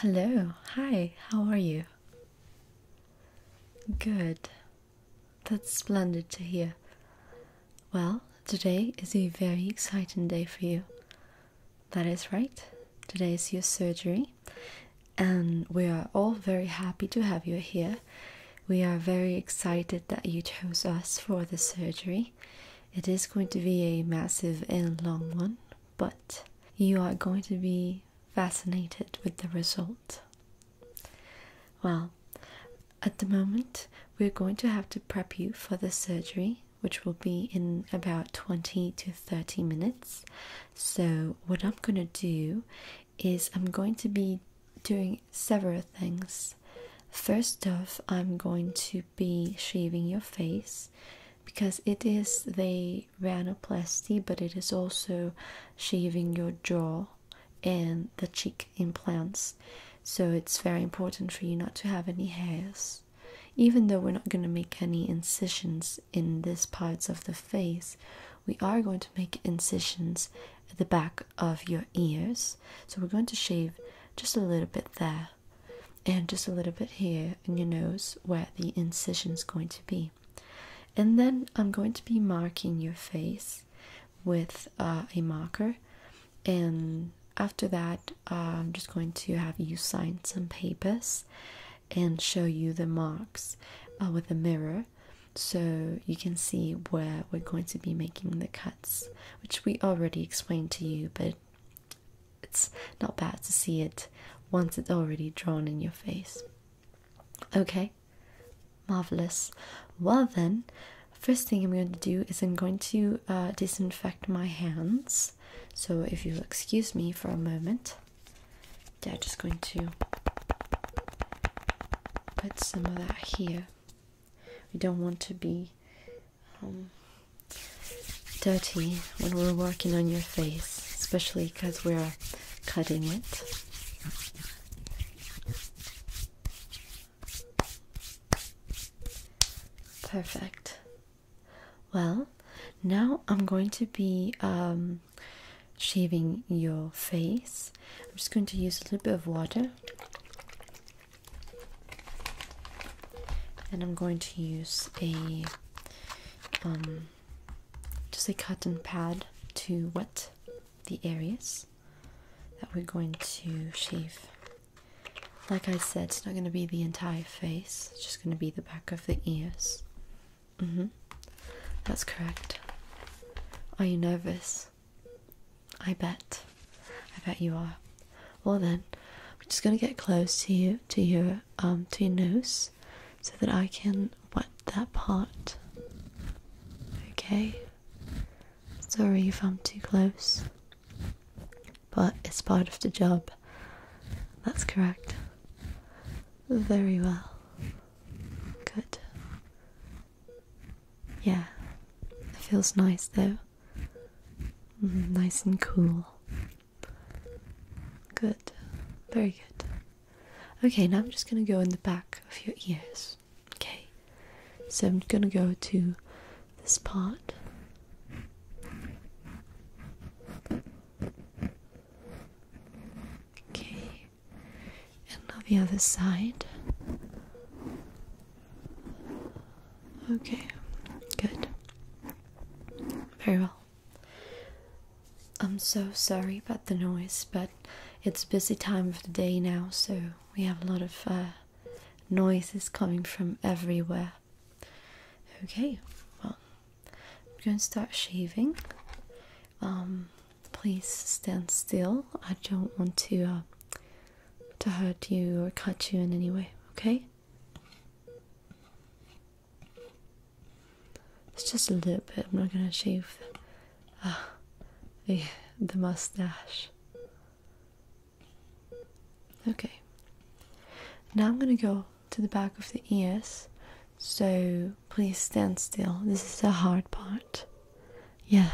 Hello, hi, how are you? Good, that's splendid to hear. Well, today is a very exciting day for you. That is right, today is your surgery, and we are all very happy to have you here. We are very excited that you chose us for the surgery. It is going to be a massive and long one but you are going to be fascinated with the result. Well, at the moment, we're going to have to prep you for the surgery, which will be in about 20 to 30 minutes. So, what I'm going to do is I'm going to be doing several things. First off, I'm going to be shaving your face because it is the rhinoplasty, but it is also shaving your jaw and the cheek implants. So it's very important for you not to have any hairs. Even though we're not going to make any incisions in these parts of the face, we are going to make incisions at the back of your ears. So we're going to shave just a little bit there and just a little bit here in your nose where the incision is going to be. And then I'm going to be marking your face with uh, a marker, and after that, uh, I'm just going to have you sign some papers and show you the marks uh, with a mirror so you can see where we're going to be making the cuts, which we already explained to you, but it's not bad to see it once it's already drawn in your face. Okay, marvelous. Well, then, first thing I'm going to do is I'm going to uh, disinfect my hands. So, if you'll excuse me for a moment, I'm just going to put some of that here. We don't want to be um, dirty when we're working on your face, especially because we're cutting it. Perfect. Well, now I'm going to be um, shaving your face. I'm just going to use a little bit of water. And I'm going to use a um, just a cotton pad to wet the areas that we're going to shave. Like I said, it's not going to be the entire face, it's just going to be the back of the ears. Mm-hmm. That's correct. Are you nervous? I bet. I bet you are. Well, then, we're just going to get close to you, to your um, to your nose so that I can wet that part. Okay. Sorry if I'm too close. But it's part of the job. That's correct. Very well. Good. Yeah. It feels nice though. Mm, nice and cool. Good. Very good. Okay, now I'm just gonna go in the back of your ears. Okay. So I'm gonna go to this part. Okay. And now the other side. Okay, good. Very well. I'm so sorry about the noise, but it's busy time of the day now, so we have a lot of uh, noises coming from everywhere. Okay, well, I'm going to start shaving. Um, please stand still. I don't want to uh, to hurt you or cut you in any way. Okay. It's just a little bit. I'm not gonna shave uh, the, the mustache. Okay. Now I'm gonna go to the back of the ears. So please stand still. This is the hard part. Yeah.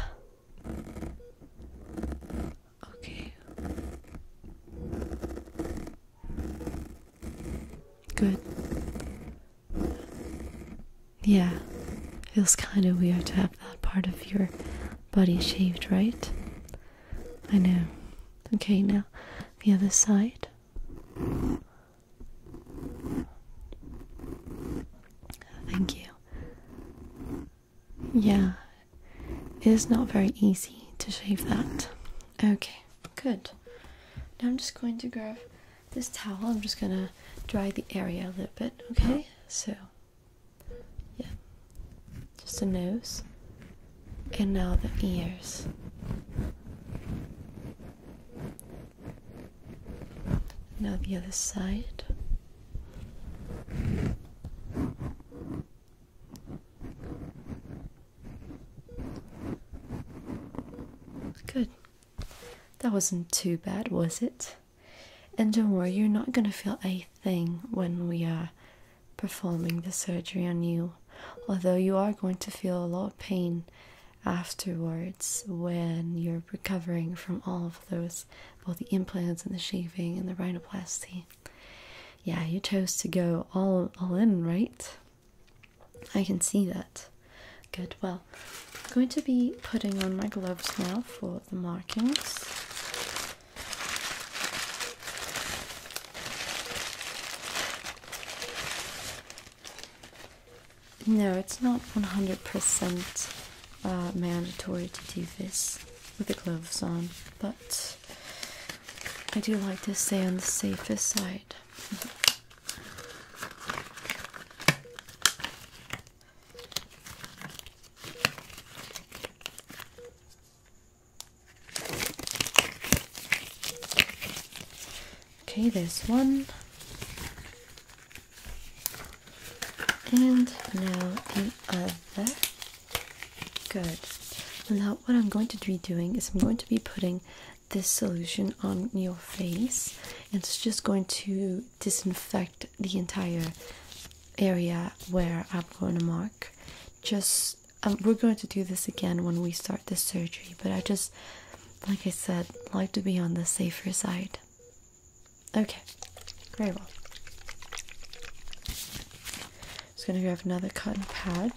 Okay. Good. Yeah, feels kind of weird to have that part of your body shaved, right? I know. Okay, now the other side. Thank you. Yeah, it is not very easy to shave that. Okay, good. Now I'm just going to grab this towel. I'm just gonna dry the area a little bit, okay? So, yeah, just the nose and now the ears. Now the other side. Good. That wasn't too bad, was it? And don't worry, you're not gonna feel a thing when we are performing the surgery on you. Although you are going to feel a lot of pain afterwards when you're recovering from all of those both the implants and the shaving and the rhinoplasty yeah, you chose to go all all in, right? I can see that. Good. Well, I'm going to be putting on my gloves now for the markings. No, it's not 100% uh, mandatory to do this with the gloves on, but I do like to stay on the safest side. Okay, there's one. And now the other. Good. Now, what I'm going to be doing is I'm going to be putting this solution on your face, and it's just going to disinfect the entire area where I'm going to mark. Just um, we're going to do this again when we start the surgery, but I just, like I said, like to be on the safer side. Okay, very well just going to grab another cotton pad.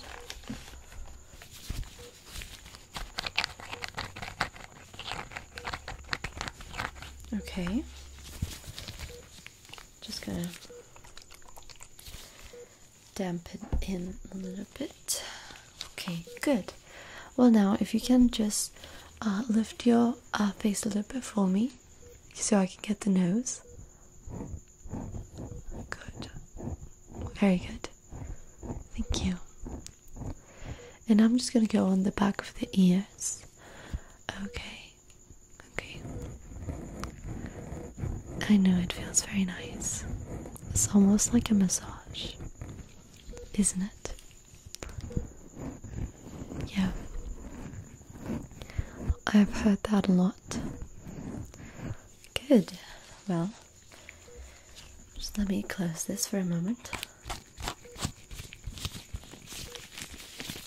Okay. Just going to dampen in a little bit. Okay, good. Well, now if you can just uh, lift your uh, face a little bit for me so I can get the nose. Good. Very good. Thank you. And I'm just going to go on the back of the ears. Okay. Okay. I know it feels very nice. It's almost like a massage, isn't it? Yeah. I've heard that a lot. Good. Well, just let me close this for a moment.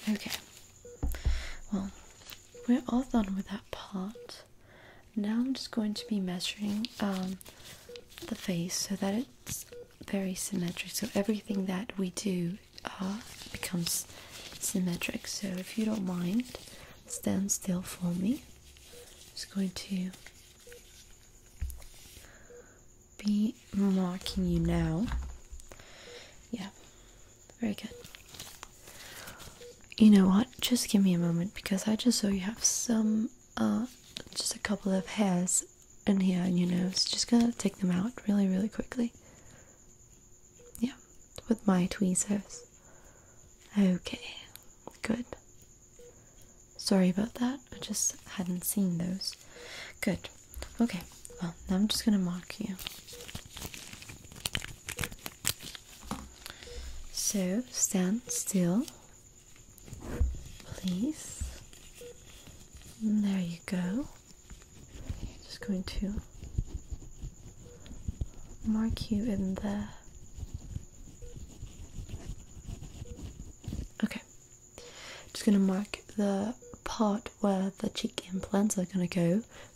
Okay. Well, we're all done with that part. Now I'm just going to be measuring um, the face so that it's very symmetric. So everything that we do uh, becomes symmetric. So if you don't mind, stand still for me. Just going to be mocking you now. Yeah, very good. You know what? Just give me a moment because I just saw you have some, uh, just a couple of hairs in here on your nose. Just gonna take them out really, really quickly. Yeah, with my tweezers. Okay, good. Sorry about that, I just hadn't seen those. Good. Okay, well, now I'm just gonna mark you. So, stand still, please. There you go. Just going to mark you in there. Okay, just gonna mark the part where the cheek implants are gonna go.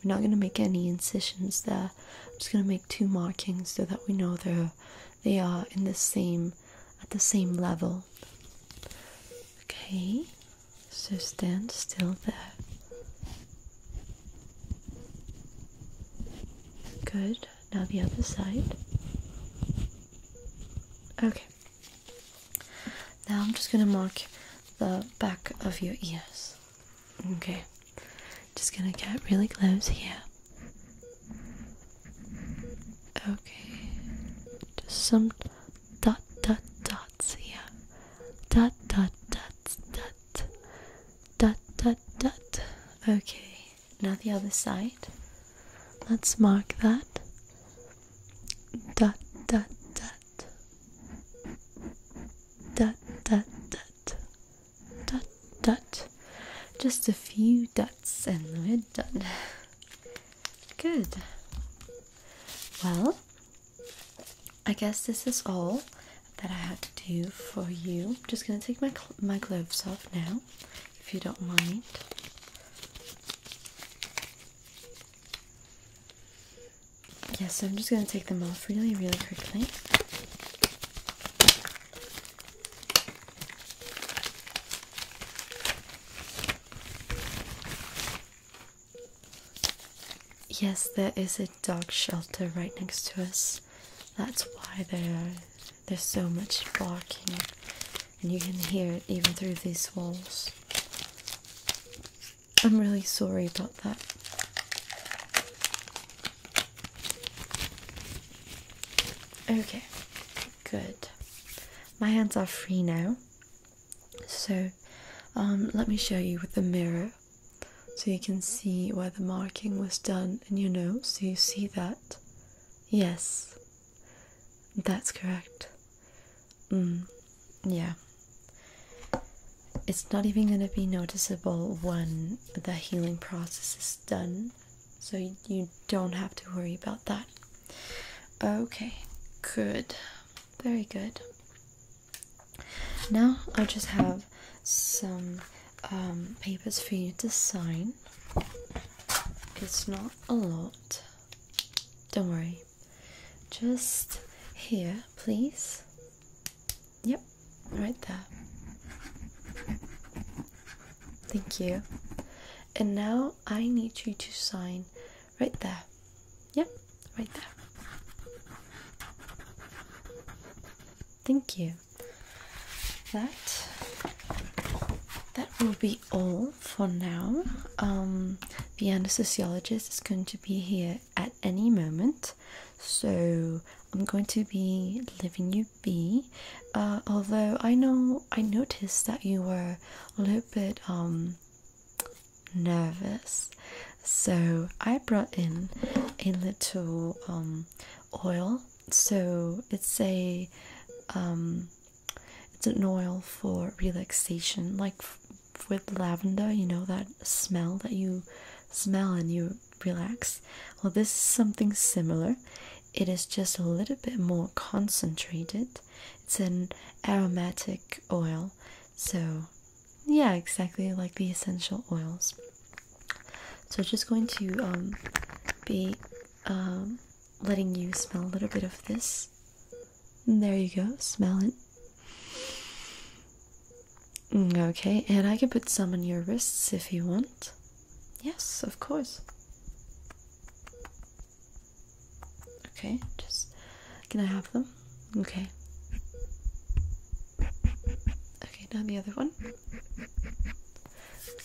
We're not gonna make any incisions there. I'm just gonna make two markings so that we know they're they are in the same at the same level. Okay, so stand still there. Good. Now the other side. Okay. Now I'm just going to mark the back of your ears. Okay. Just going to get really close here. Okay. Just some dot dot dots here. Dot dot dots dot dot dot dot. Okay, now the other side. Let's mark that. Dot dot dot. Dot dot dot. Dot dot. Just a few dots and we're done. Good. Well, I guess this is all that I had to do for you. I'm just gonna take my my gloves off now, if you don't mind. Yes, yeah, so I'm just gonna take them off really, really quickly. Yes, there is a dog shelter right next to us. That's why there's so much barking, and you can hear it even through these walls. I'm really sorry about that. Okay, good. My hands are free now. So, um, let me show you with the mirror so you can see where the marking was done in your nose. So you see that? Yes, that's correct. Mm, yeah. It's not even going to be noticeable when the healing process is done, so you don't have to worry about that. Okay, good. Very good. Now I just have some um, papers for you to sign. It's not a lot. Don't worry. Just here, please. Yep, right there. Thank you. And now I need you to sign right there. Yep right there. Thank you. That that will be all for now. Um, the anesthesiologist is going to be here at any moment, so I'm going to be leaving you be. Uh, although I know I noticed that you were a little bit um, nervous so I brought in a little um, oil so it's a um, it's an oil for relaxation like with lavender you know that smell that you smell and you relax well this is something similar it is just a little bit more concentrated it's an aromatic oil so yeah, exactly like the essential oils. So just going to um, be um, letting you smell a little bit of this. there you go, smell it. Mm, okay, and I can put some on your wrists if you want. Yes, of course. Okay, just can I have them? Okay. Okay, now the other one.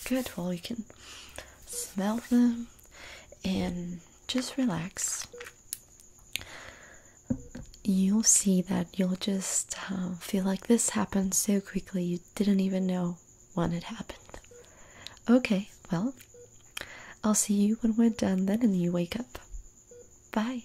Good, well, you can smell them and just relax. You'll see that you'll just um, feel like this happened so quickly you didn't even know when it happened. Okay, well, I'll see you when we're done then and you wake up. Bye.